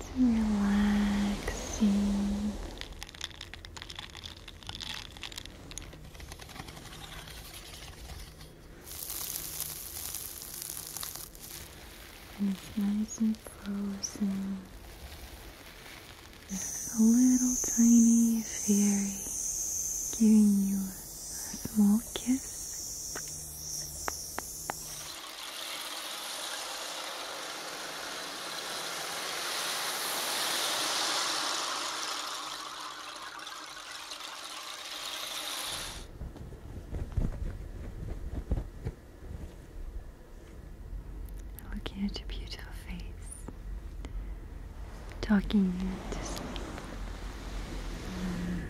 It's relaxing. And it's nice and frozen. There's a little tiny fairy giving you a small kiss. Looking at your beautiful face, talking you to sleep. Mm.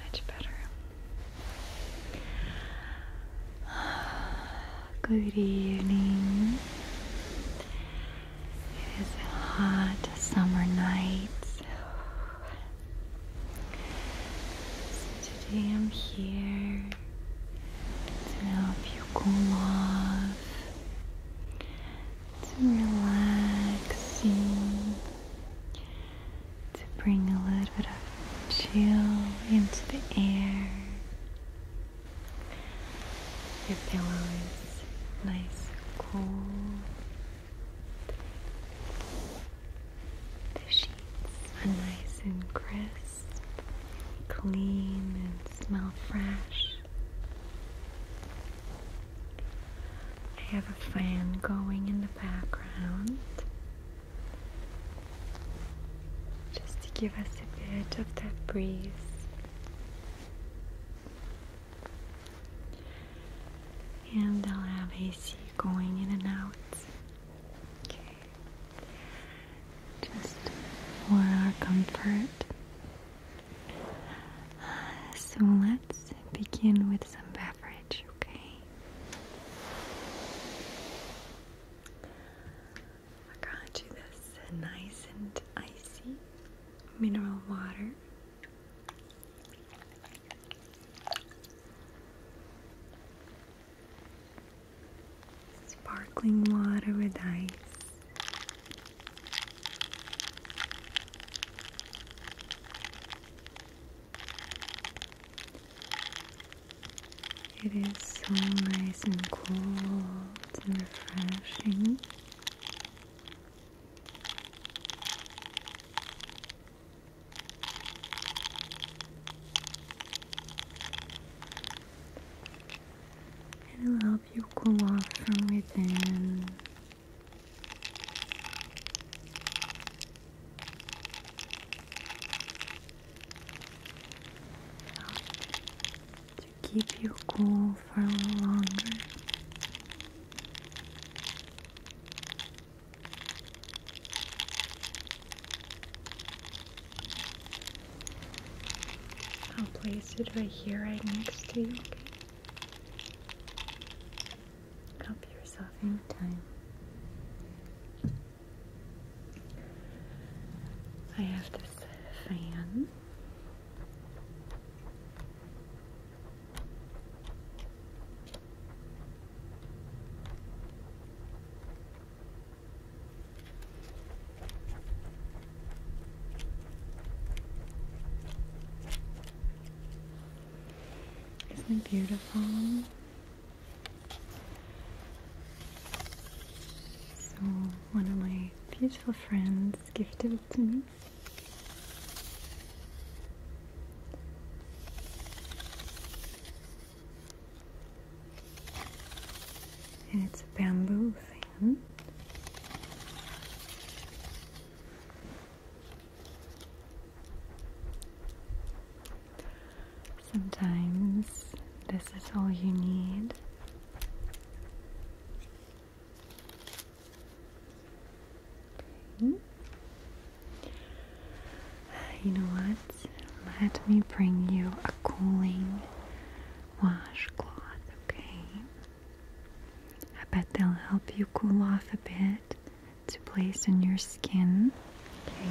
Much better. Good evening. It is a hot summer night. So today I'm here to help you cool off, to relax to bring a little bit of chill into the air. Your pillow nice cool the sheets are nice and crisp, clean and smell fresh. I have a fan going in the background just to give us a bit of that breeze. And I'll have AC going in and out. Okay. Just for our comfort. So let's begin with some beverage, okay? I got you this nice and icy mineral water. Sparkling water with ice. It is so nice and cold and refreshing. It'll help you cool off from within keep you cool for a little longer. I'll place it right here, right next to you. Help yourself anytime. I have this fan. Isn't it beautiful? So, one of my beautiful friends gifted it to me. And it's a bamboo fan. Sometimes this is all you need. You know what? Let me bring you a cooling washcloth, okay? I bet they'll help you cool off a bit to place on your skin, okay?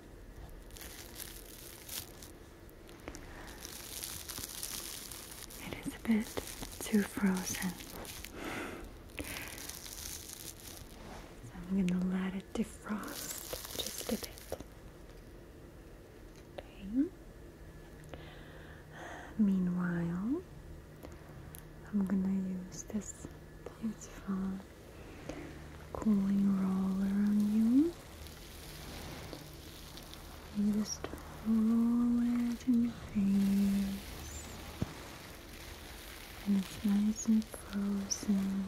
It is a bit too frozen. So I'm gonna let it defrost just a bit. Meanwhile, I'm gonna use this beautiful cooling roller on you. You just roll it in your face. And it's nice and frozen.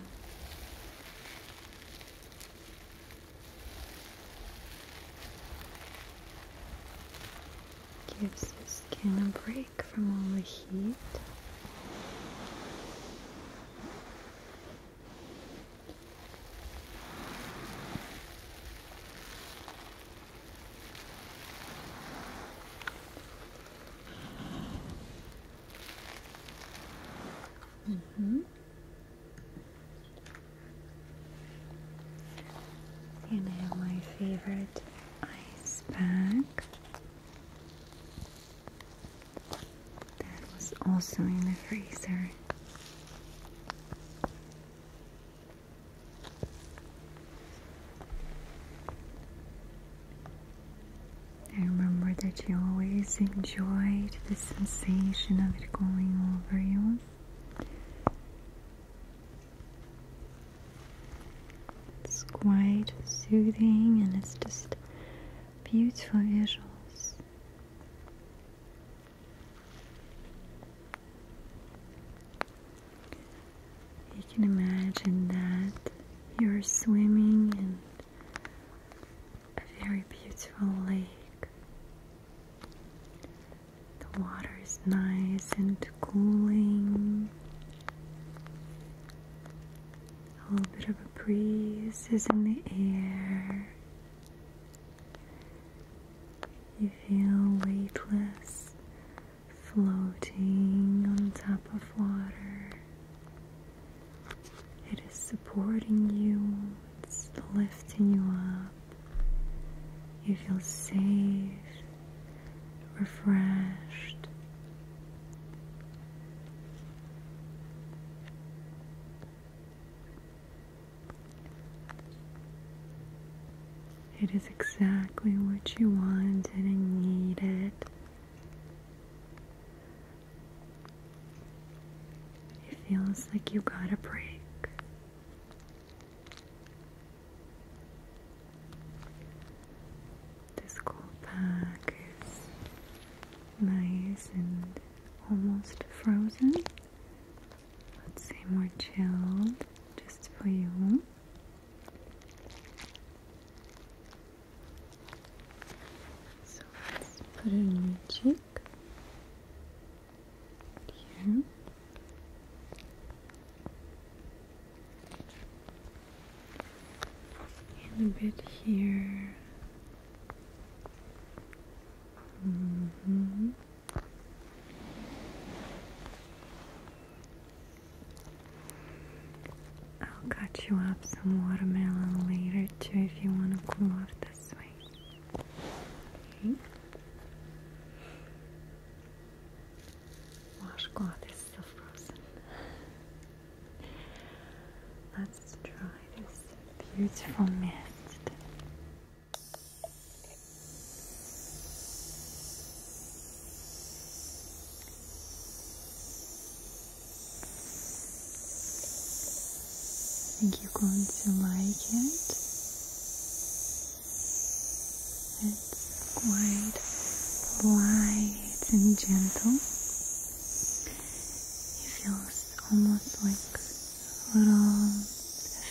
Gives your skin a break from all the heat. Mm hmm And I my favorite ice pack. That was also in the freezer. I remember that you always enjoyed the sensation of it going over you. It's quite soothing and it's just Beautiful visuals. You can imagine that you're swimming in a very beautiful lake. The water is nice and cooling. A little bit of a breeze is in the air. You feel weightless, floating on top of water. It is supporting you, it's lifting you up. You feel safe, refreshed, it is exactly what you wanted and needed. It feels like you got a break. This cool pack is nice and almost frozen. Let's say more chilled just for you. So let's put it in your cheek. Here. And a bit here Mm-hmm. I'll cut you up some watermelon later too if you want to cool off this way. Washcloth is still frozen. Let's try this beautiful mist. I think you're going to like it. It's quite light and gentle. It feels almost like little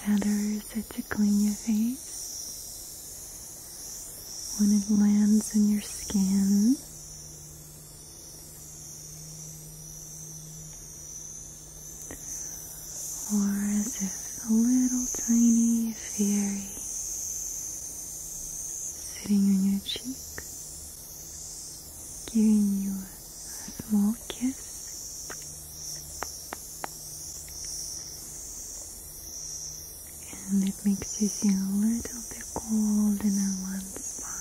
feathers tickling your face. When it lands in your skin, or as if a little tiny fairy sitting on your cheek giving you a small kiss. And it makes you feel a little bit cold in that one spot.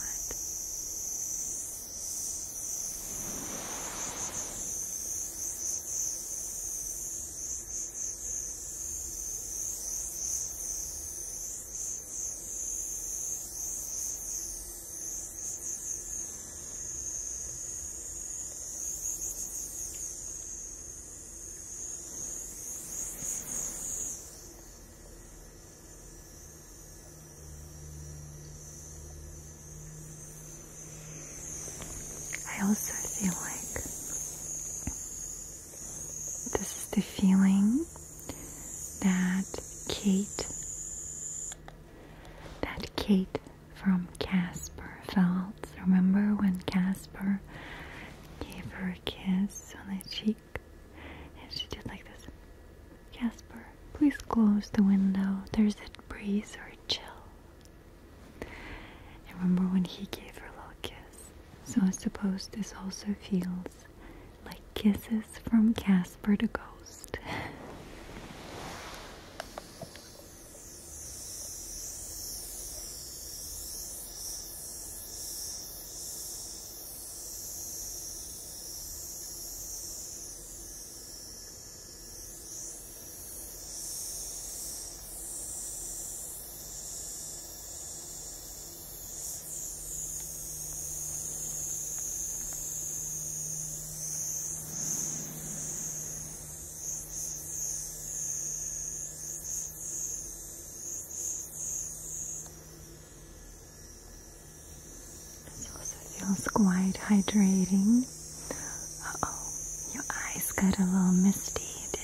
I also feel like this is the feeling that Kate that Kate from Casper felt. Remember when Casper gave her a kiss on the cheek? And she did like this. Casper, please close the window. There's a breeze or a chill. And remember when he gave her a little kiss? So I suppose this also feels like kisses from Casper the Ghost. This also feels quite hydrating. oh, your eyes got a little misty, did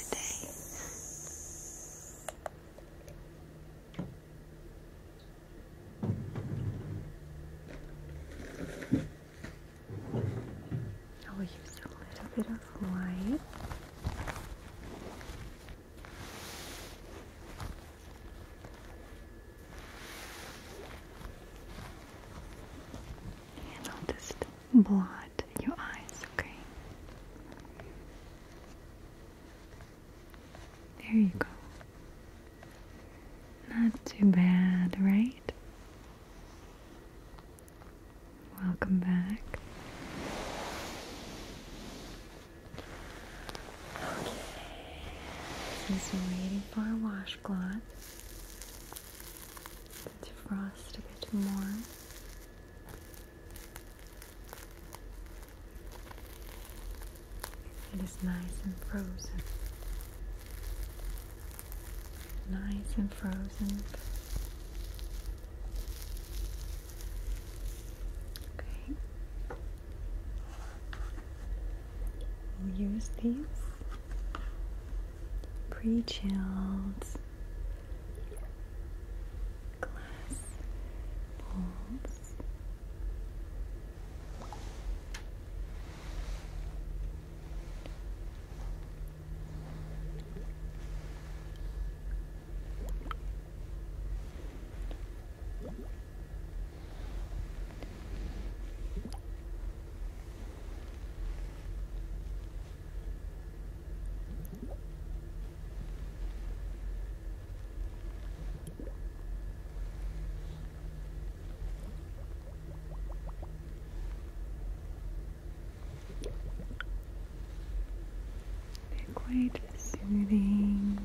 I'll use a little bit of white. And I'll just blot your eyes, okay? There you go. Not too bad, right? Welcome back. Okay. Since waiting for our washcloth to defrost a bit more, it is nice and frozen. Nice and frozen. Okay. We'll use these pre-chilled glass balls. They're quite soothing,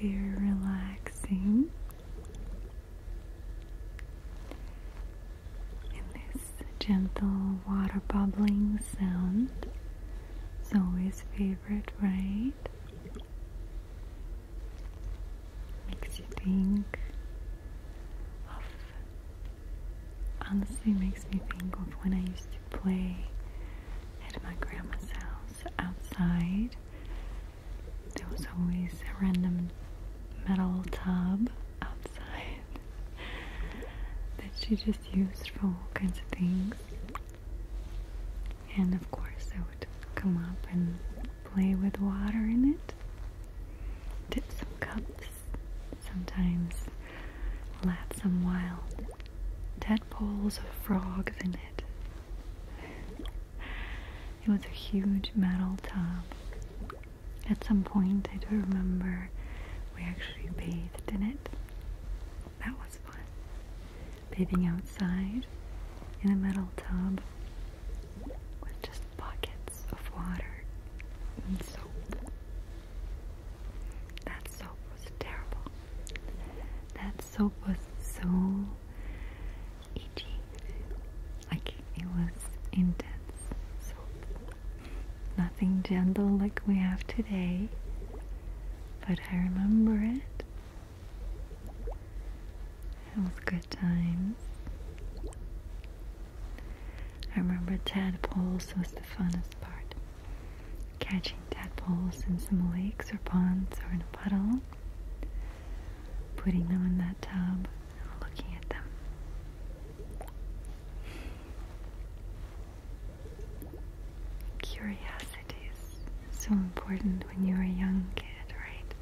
very relaxing and this gentle water bubbling sound is always favorite, right? Makes you think of honestly makes me think of when I used to play at my grandma's house outside. There was always a random metal tub that she just used for all kinds of things. And of course, I would come up and play with water in it, dip some cups, sometimes let some wild tadpoles or frogs in it. It was a huge metal tub at some point, I do remember we actually bathed in it. That was fun. Bathing outside in a metal tub with just buckets of water and soap. That soap was terrible. That soap was so itchy. Like it was intense soap. Nothing gentle like we have today, but I remember it. It was good times. I remember tadpoles was the funnest part. Catching tadpoles in some lakes or ponds or in a puddle, putting them in that tub and looking at them. Curiosity is so important when you're a young kid, right?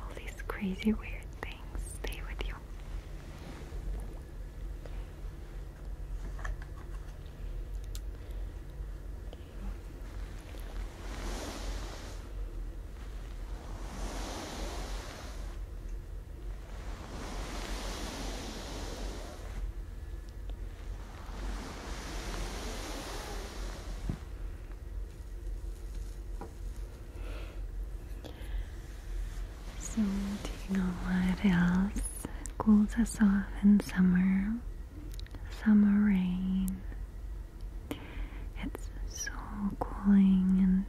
All these crazy, weird things stay with you. So, do you know what else cools us off in summer? Summer rain. It's so cooling and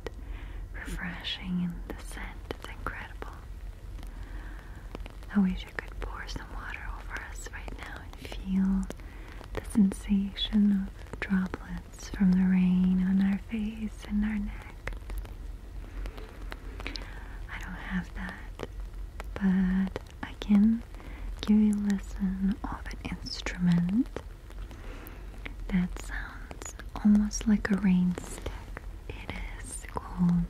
refreshing, and the scent is incredible. I wish you could pour some water over us right now and feel the sensation of droplets from the rain on our face and our neck. I don't have that, but I can give you a lesson of an instrument that sounds it's almost like a rainstick. It is called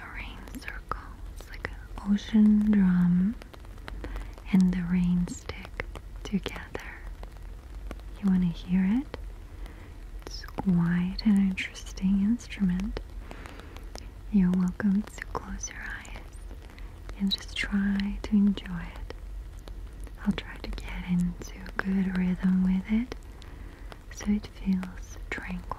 a rain circle. It's like an ocean drum and the rainstick together. You want to hear it? It's quite an interesting instrument. You're welcome to close your eyes and just try to enjoy it. I'll try to get into a good rhythm with it so it feels tranquil.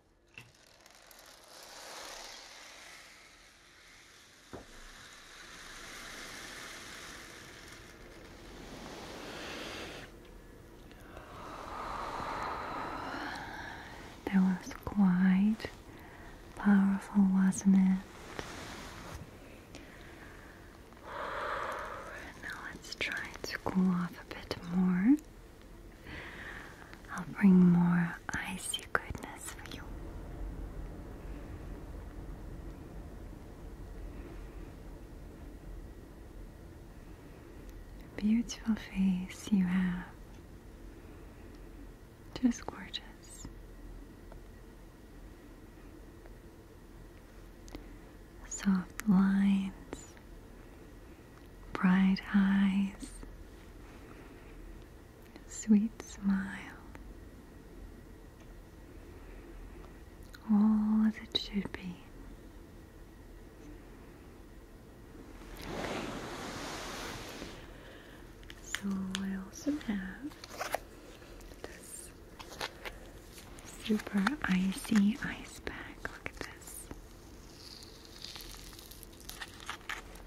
That was quite powerful, wasn't it? Now let's try to cool off a bit more I'll bring more icy goodness for you. Beautiful face you have. Just gorgeous. Soft lines, bright eyes, sweet smile, all as it should be. So I also have this super icy ice bag. Look at this.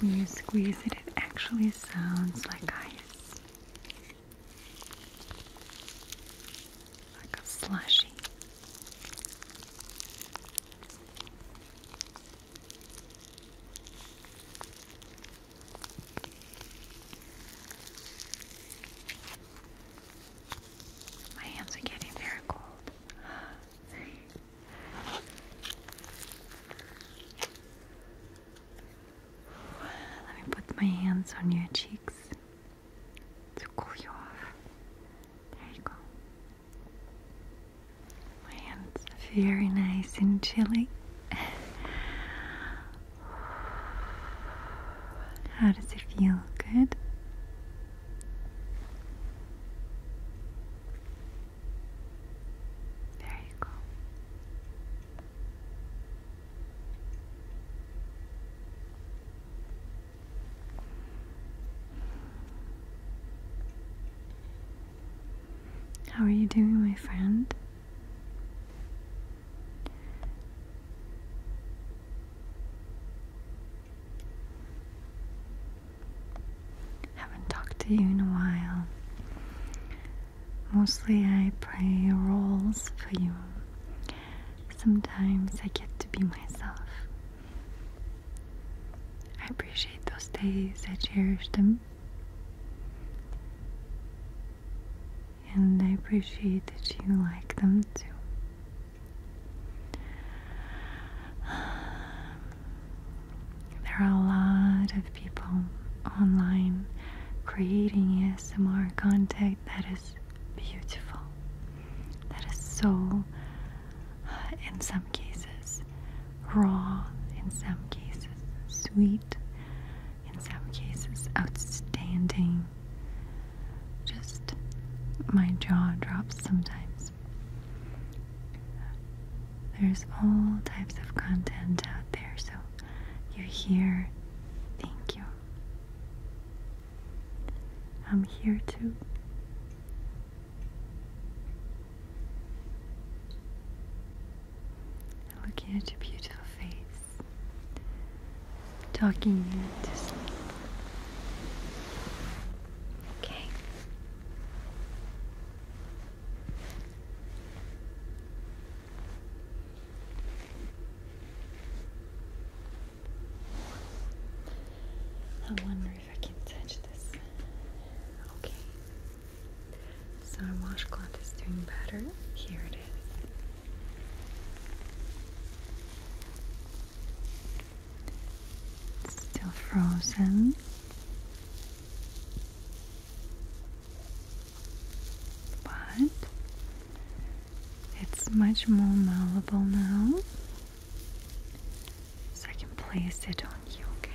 When you squeeze it, it actually sounds like ice, like a slushy. My hands are getting very cold. Let me put my hands on your cheeks to cool you off. There you go. My hands are very nice and chilly. How does it feel? Good? There you go. How are you doing, my friend? Haven't talked to you in a while. Mostly I play roles for you. Sometimes I get to be myself. I appreciate those days, I cherish them and I appreciate that you like them too. There are a lot of people online creating ASMR content that is beautiful, that is so, in some cases, raw, in some cases, sweet, in some cases outstanding. Just my jaw drops sometimes. There's all types of content out there, so you're here. Thank you. I'm here too. Looking at your beautiful face talking you to sleep. Okay. I wonder if I can touch this. Okay. So our washcloth is doing better. Here it is. It's still frozen. But it's much more malleable now. So I can place it on you, okay?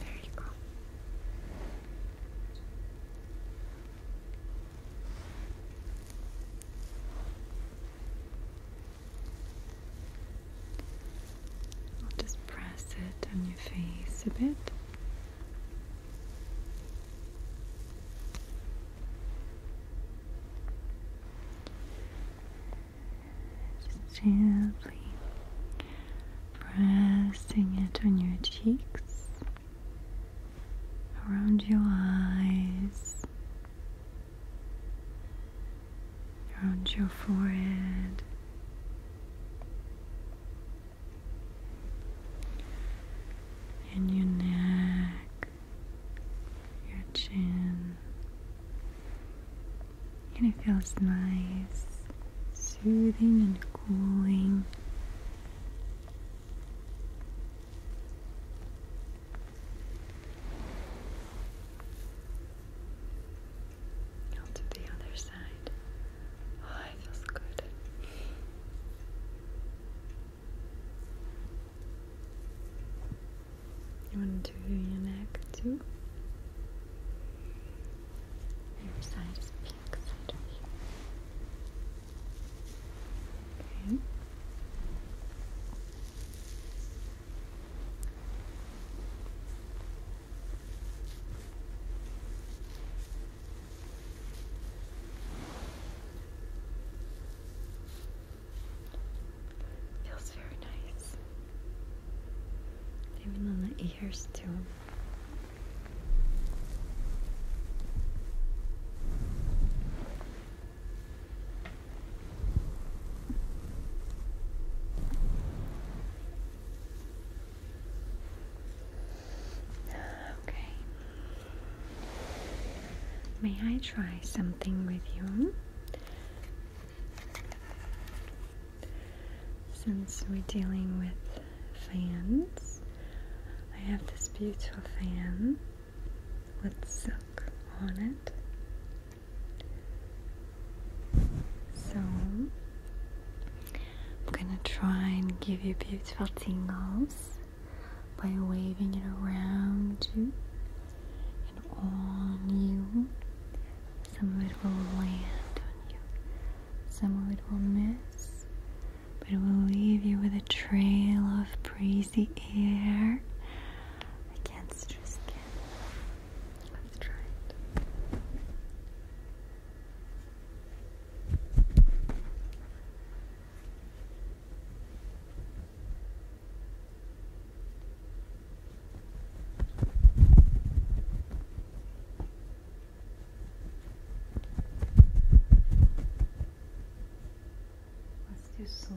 There you go. just press it on your face a bit. Just gently pressing it on your cheeks, around your eyes, around your forehead. And your neck, your chin, and it feels nice, soothing and cooling. to the other side. Oh, it feels good. You want to do your neck too? Your side is pink Feels very nice. Even on the ears too. Okay. May I try something with you? Since we're dealing with fans, I have this beautiful fan with silk on it. So I'm gonna try and give you beautiful tingles by waving it around you and on you. Some of it will land on you, some of it will miss, but it will leave you with a trail of breezy air against your skin. Let's try it. Let's do slow.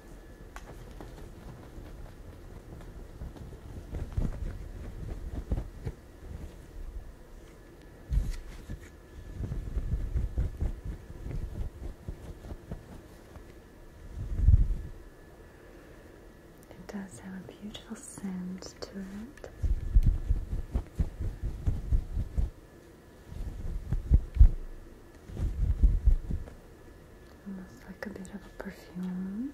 It does have a beautiful scent to it almost like a bit of a perfume.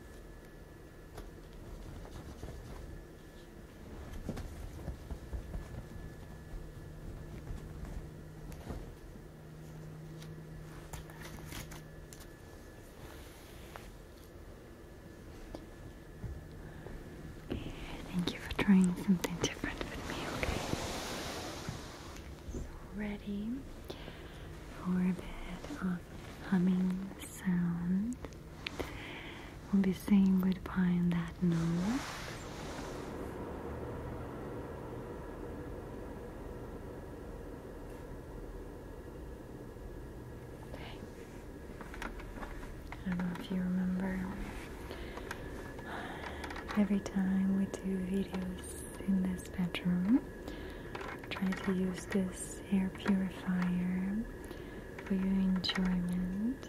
Thank you for trying something different with me, okay? ready for a bit of humming sound. We'll be saying goodbye on that note. I don't know if you remember, every time we do videos in this bedroom, Try to use this air purifier for your enjoyment.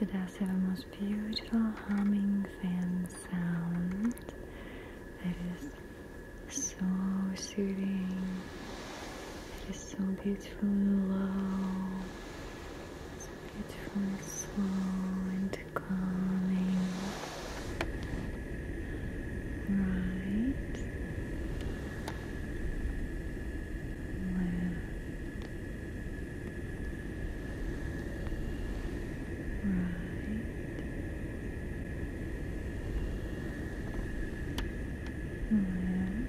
it does have a most beautiful humming fan sound that is so soothing. It is so beautiful and low, so beautiful slow and and calming. Right. Left. Right. Left. Right,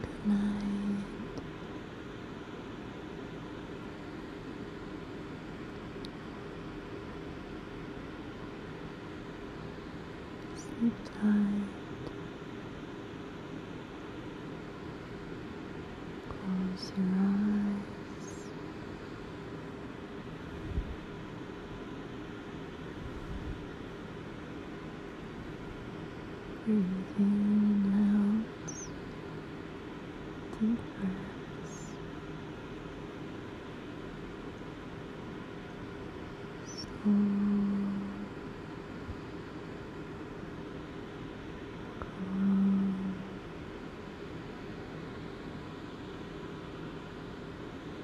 Good night. Sleep tight. Close your eyes. Breathe in out. Deep breaths. Slow. Calm.